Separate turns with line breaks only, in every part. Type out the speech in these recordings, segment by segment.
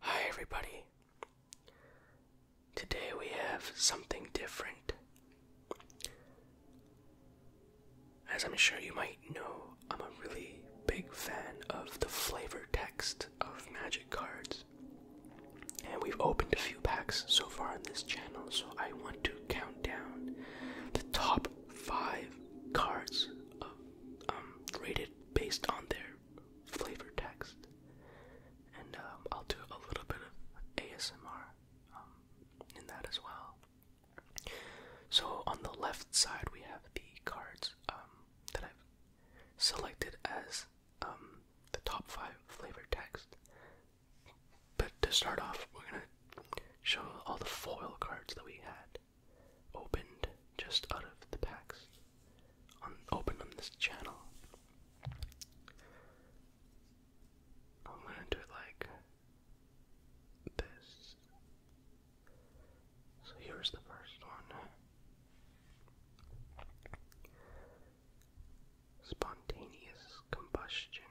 Hi, everybody. Today we have something different. As I'm sure you might know, I'm a really big fan of the flavor text of magic cards. And we've opened a few packs so far on this channel, so I want to count down the top five cards of um, rated based on their flavor text. And um, I'll do a little bit of ASMR um, in that as well. So on the left side, we have the cards that I've selected as the top five flavor text. But to start off, we're gonna show all the foil cards that we had opened just out of the packs on open on this channel. I'm gonna do it like this. So here's the first one. Spontaneous combustion.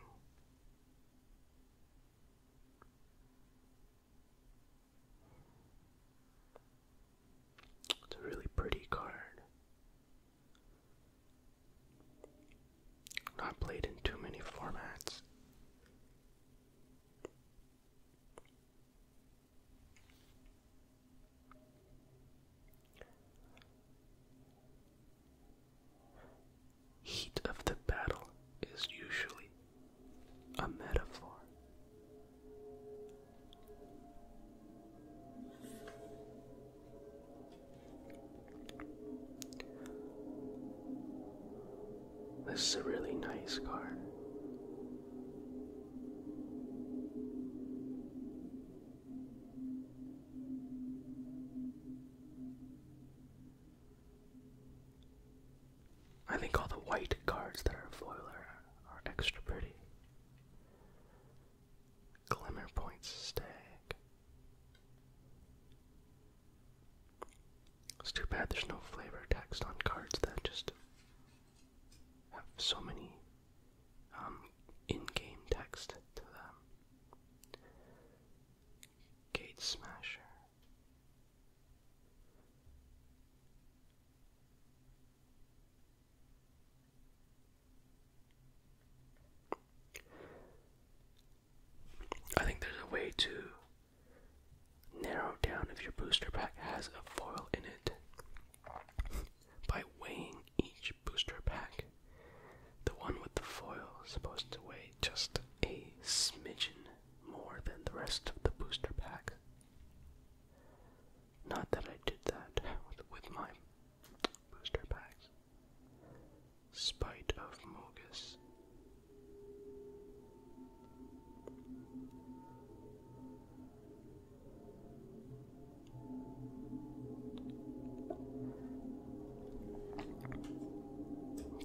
It's a really pretty card. Not played in too many formats. Heat of the battle is usually a metaphor. This is a really nice card. I think all the white cards that are foiler are extra pretty. Glimmer points stag. It's too bad there's no flavor text on cards that just have so many um, in game text to them. Gate Smasher. I think there's a way to narrow down if your booster pack has a foil in it by weighing each booster pack the one with the foil supposed to weigh just a smidgen more than the rest of the booster pack. Not that I did that with my booster packs. Spite of Mogus.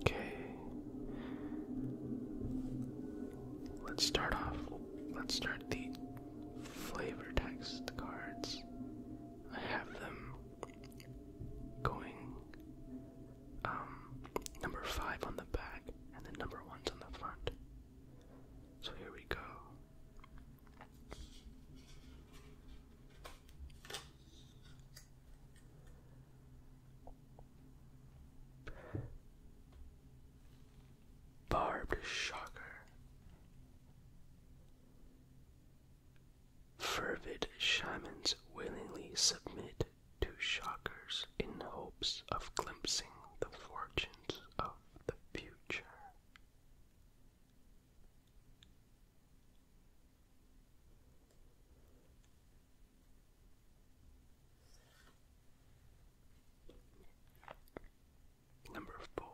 Okay. Let's start off. Let's start the flavor text cards. I have them going um number 5 on the back and the number 1's on the front. So here we go. Barbed shocker, fervid shamans willingly submit to shockers in hopes of glimpsing the fortunes of the future. Number four.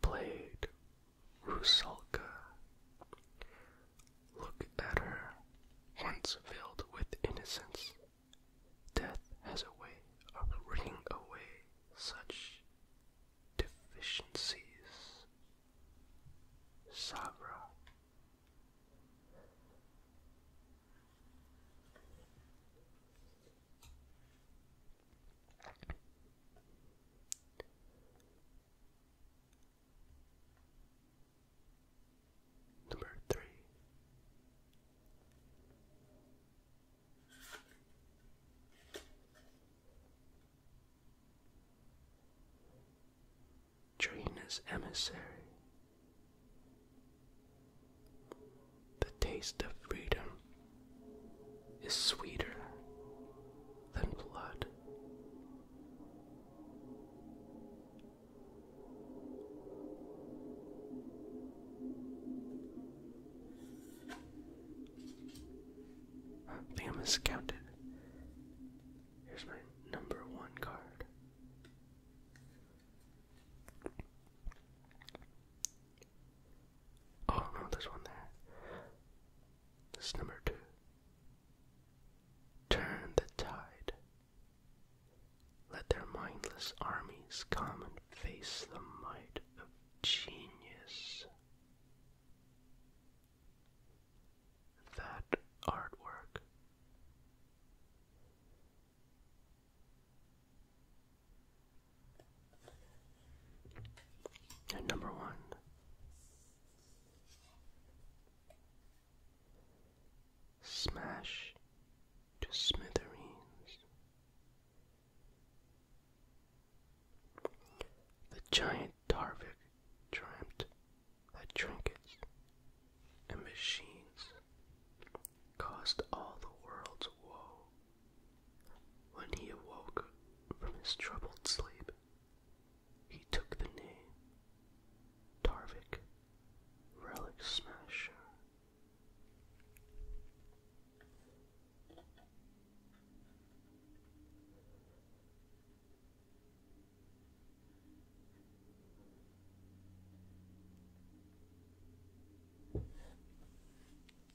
Played Rusalka. Look at her, once filled with innocence. Death has a way of wringing away such deficiencies. Sabra. Number three. Trina's emissary. The taste of freedom is sweeter I think I'm miscounted. Here's my number one card. Oh there's one there. This number two. Turn the tide. Let their mindless armies come and face the might of genius. That artwork. And number one. Smash to smithereens. The giant Tarvik dreamt that trinkets and machines caused all the world's woe when he awoke from his troubled sleep, he took the name Tarvik Relic Smasher.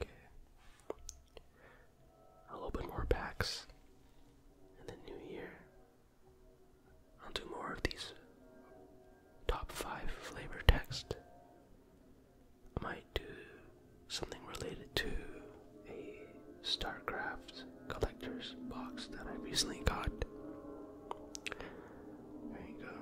Okay. I'll open more packs in the new year. I'll do more of these top five flavor text. might do something related to a StarCraft collector's box that I recently got. There you go.